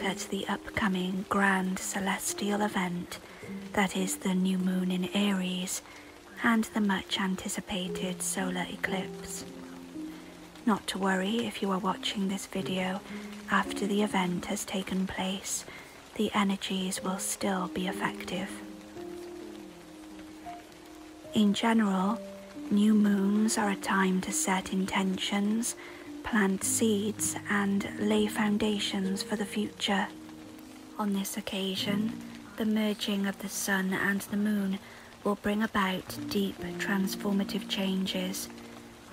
at the upcoming grand celestial event that is the new moon in Aries and the much anticipated solar eclipse. Not to worry if you are watching this video after the event has taken place, the energies will still be effective. In general, new moons are a time to set intentions plant seeds and lay foundations for the future. On this occasion, the merging of the sun and the moon will bring about deep transformative changes,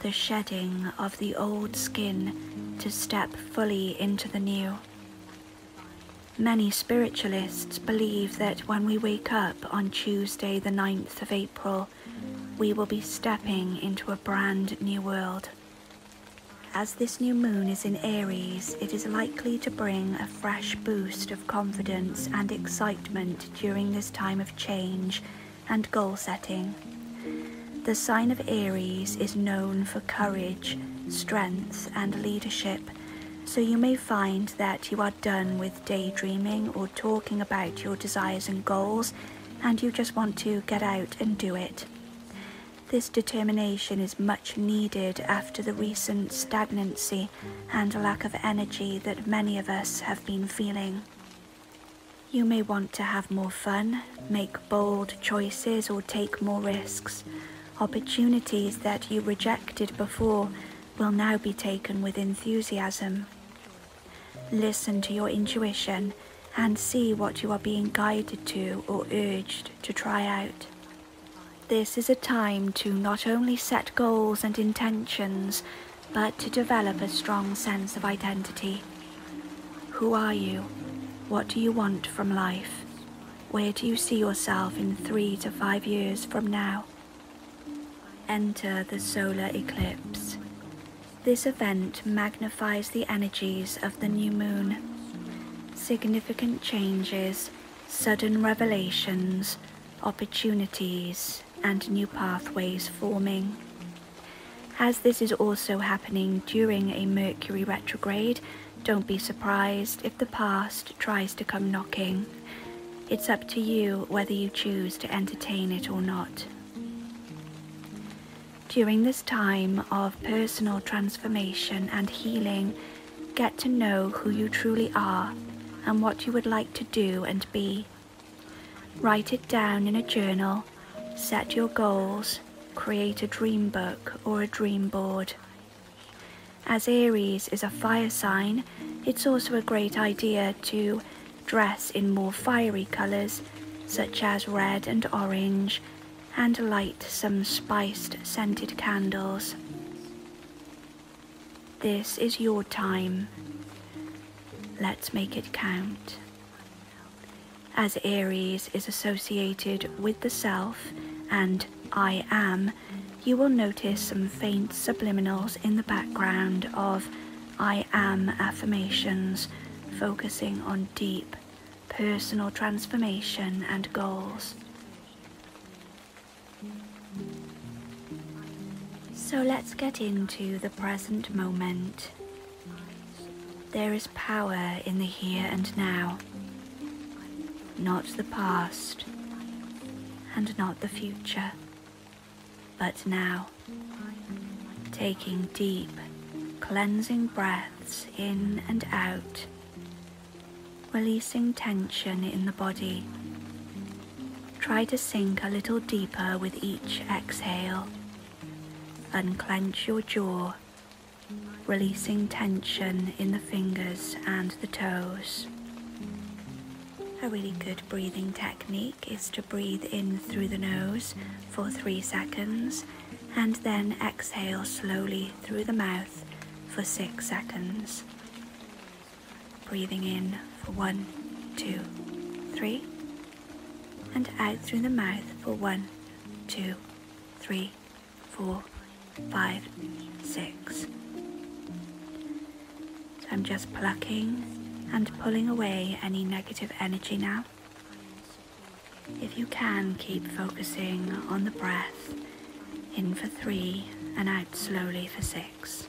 the shedding of the old skin to step fully into the new. Many spiritualists believe that when we wake up on Tuesday, the 9th of April, we will be stepping into a brand new world. As this new moon is in Aries, it is likely to bring a fresh boost of confidence and excitement during this time of change and goal setting. The sign of Aries is known for courage, strength, and leadership, so you may find that you are done with daydreaming or talking about your desires and goals and you just want to get out and do it. This determination is much needed after the recent stagnancy and lack of energy that many of us have been feeling. You may want to have more fun, make bold choices, or take more risks. Opportunities that you rejected before will now be taken with enthusiasm. Listen to your intuition and see what you are being guided to or urged to try out. This is a time to not only set goals and intentions, but to develop a strong sense of identity. Who are you? What do you want from life? Where do you see yourself in three to five years from now? Enter the solar eclipse. This event magnifies the energies of the new moon. Significant changes, sudden revelations, opportunities, and new pathways forming. As this is also happening during a Mercury retrograde, don't be surprised if the past tries to come knocking. It's up to you whether you choose to entertain it or not. During this time of personal transformation and healing, get to know who you truly are and what you would like to do and be. Write it down in a journal, set your goals, create a dream book or a dream board. As Aries is a fire sign, it's also a great idea to dress in more fiery colours, such as red and orange, and light some spiced scented candles. This is your time. Let's make it count. As Aries is associated with the self and I am, you will notice some faint subliminals in the background of I am affirmations, focusing on deep personal transformation and goals. So let's get into the present moment. There is power in the here and now, not the past and not the future. But now, taking deep, cleansing breaths in and out, releasing tension in the body. Try to sink a little deeper with each exhale. Unclench your jaw, releasing tension in the fingers and the toes. A really good breathing technique is to breathe in through the nose for three seconds and then exhale slowly through the mouth for six seconds. Breathing in for one, two, three, and out through the mouth for one, two, three, four, five, six. I'm just plucking and pulling away any negative energy now. If you can, keep focusing on the breath in for three and out slowly for six.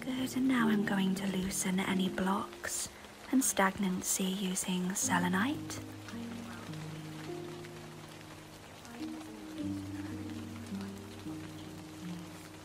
Good, and now I'm going to loosen any blocks and stagnancy using selenite.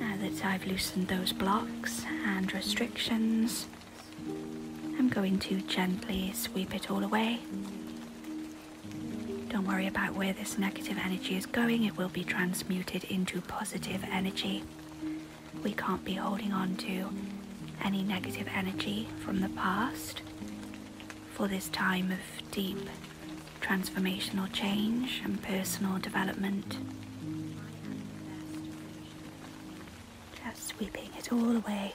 Now that I've loosened those blocks and restrictions, I'm going to gently sweep it all away. Don't worry about where this negative energy is going, it will be transmuted into positive energy. We can't be holding on to any negative energy from the past for this time of deep transformational change and personal development. Just sweeping it all away.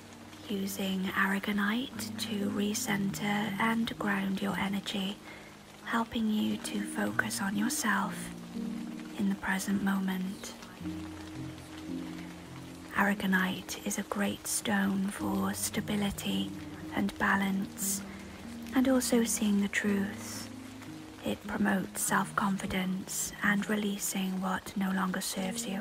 using aragonite to recenter and ground your energy, helping you to focus on yourself in the present moment. Aragonite is a great stone for stability and balance, and also seeing the truth. It promotes self confidence and releasing what no longer serves you.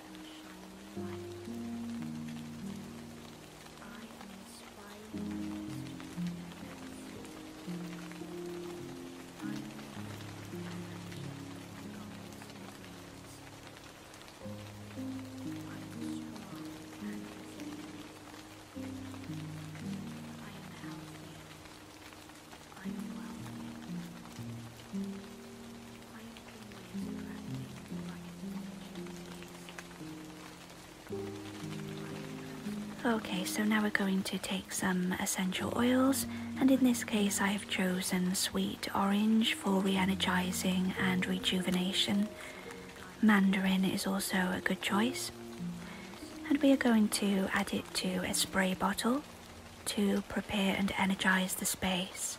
am a shining I am inspiring I am an I am strong I am healthy. Okay, so now we're going to take some essential oils, and in this case, I have chosen sweet orange for re energizing and rejuvenation. Mandarin is also a good choice. And we are going to add it to a spray bottle to prepare and energize the space.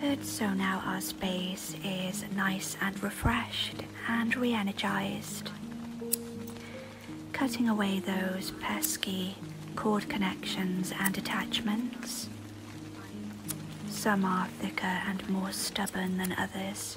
Good, so now our space is nice and refreshed and re energized. Cutting away those pesky cord connections and attachments. Some are thicker and more stubborn than others.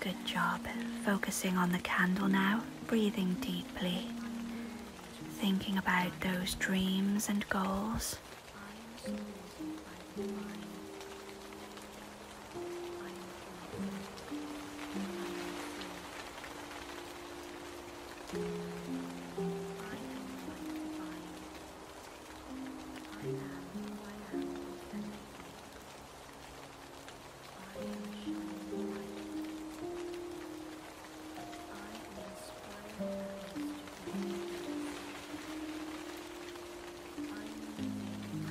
Good job. Focusing on the candle now, breathing deeply, thinking about those dreams and goals.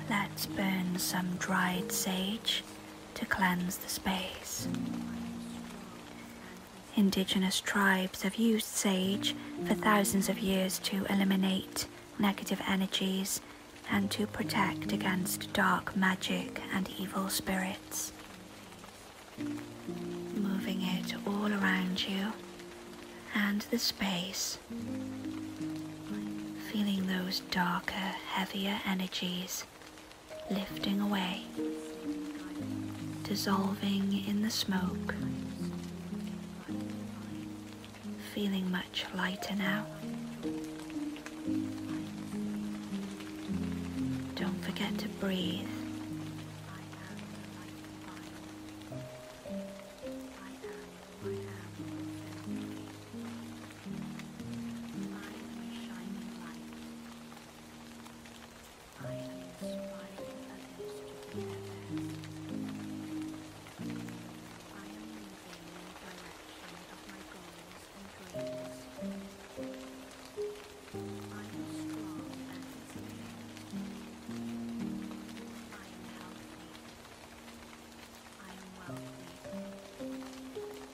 Let's burn some dried sage to cleanse the space. Indigenous tribes have used sage for thousands of years to eliminate negative energies and to protect against dark magic and evil spirits. Moving it all around you and the space. Feeling those darker, heavier energies lifting away, dissolving in the smoke, feeling much lighter now. Don't forget to breathe. I inspiring others to be their best. I am moving in the direction of my goals and dreams. I am strong and resilient. I am healthy. I am wealthy.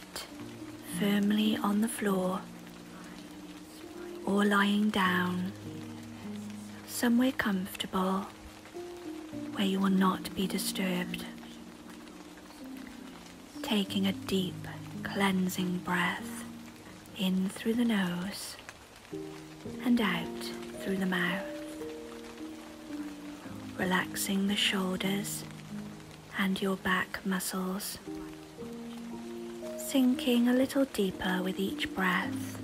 firmly on the floor or lying down somewhere comfortable where you will not be disturbed. Taking a deep cleansing breath in through the nose and out through the mouth. Relaxing the shoulders and your back muscles, sinking a little deeper with each breath.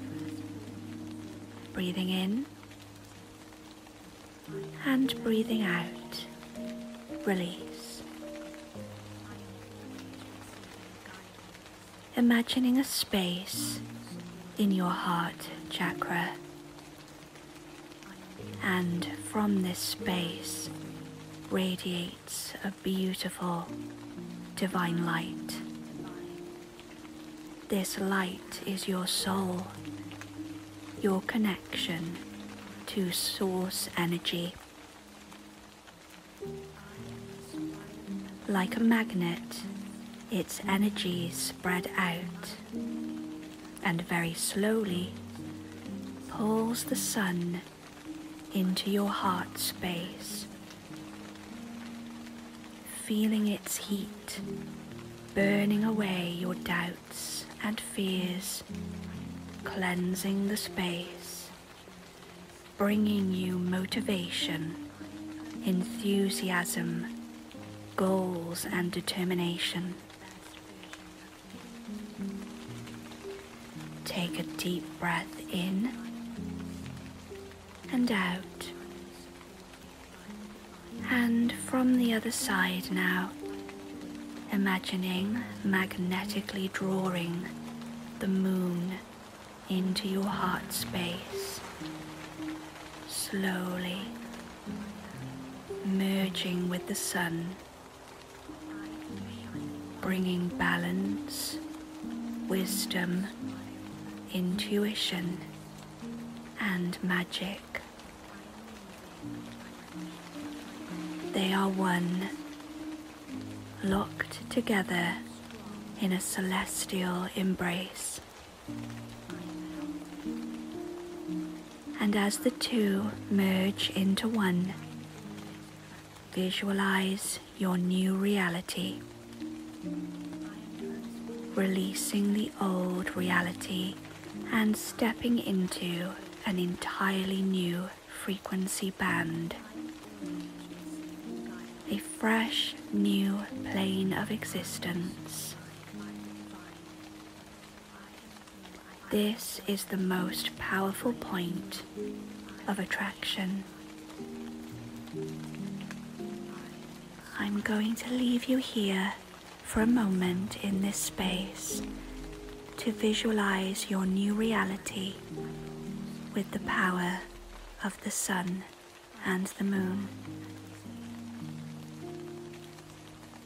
Breathing in and breathing out. Release. Imagining a space in your heart chakra and from this space radiates a beautiful divine light. This light is your soul, your connection to source energy. Like a magnet, its energy spread out and very slowly pulls the sun into your heart space, feeling its heat burning away your doubts and fears, cleansing the space, bringing you motivation, enthusiasm, goals and determination. Take a deep breath in and out. And from the other side now, imagining magnetically drawing the moon into your heart space. Slowly merging with the sun, bringing balance, wisdom, intuition, and magic. They are one, locked together in a celestial embrace. And as the two merge into one, visualize your new reality, releasing the old reality and stepping into an entirely new frequency band. A fresh new plane of existence this is the most powerful point of attraction. I'm going to leave you here for a moment in this space to visualize your new reality with the power of the sun and the moon.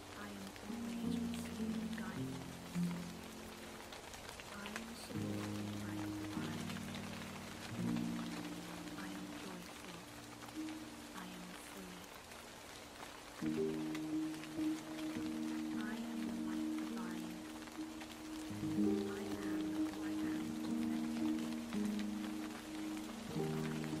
I am always with you and guiding you. I am supported by your mind. I am joyful. I am free. I am the light divine. I am who I am eventually. I am shining light. I am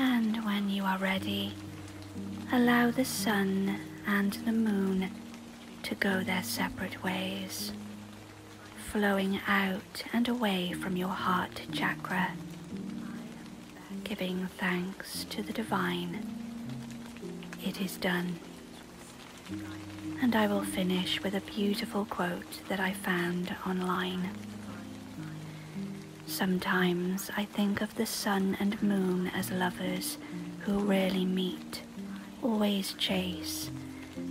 And when you are ready, allow the sun and the moon to go their separate ways, flowing out and away from your heart chakra, giving thanks to the divine. It is done. And I will finish with a beautiful quote that I found online. Sometimes I think of the sun and moon as lovers who rarely meet, always chase,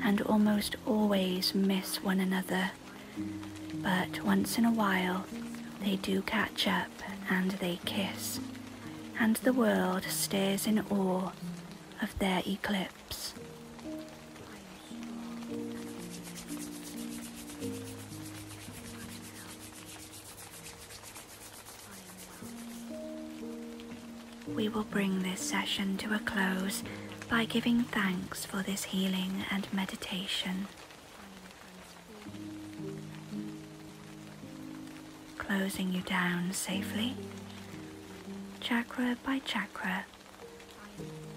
and almost always miss one another. But once in a while, they do catch up and they kiss and the world stares in awe of their eclipse. We will bring this session to a close by giving thanks for this healing and meditation closing you down safely, chakra by chakra,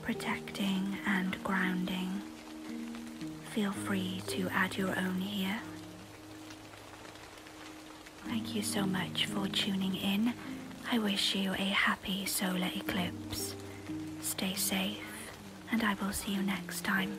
protecting and grounding. Feel free to add your own here. Thank you so much for tuning in. I wish you a happy solar eclipse. Stay safe, and I will see you next time.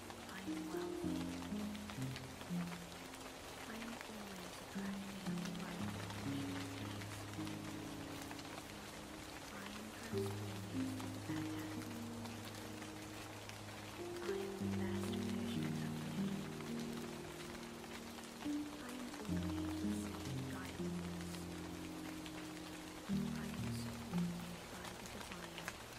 find well-being. I am always attracted I am the better. I am the best version of me. I am always receiving I am the divine.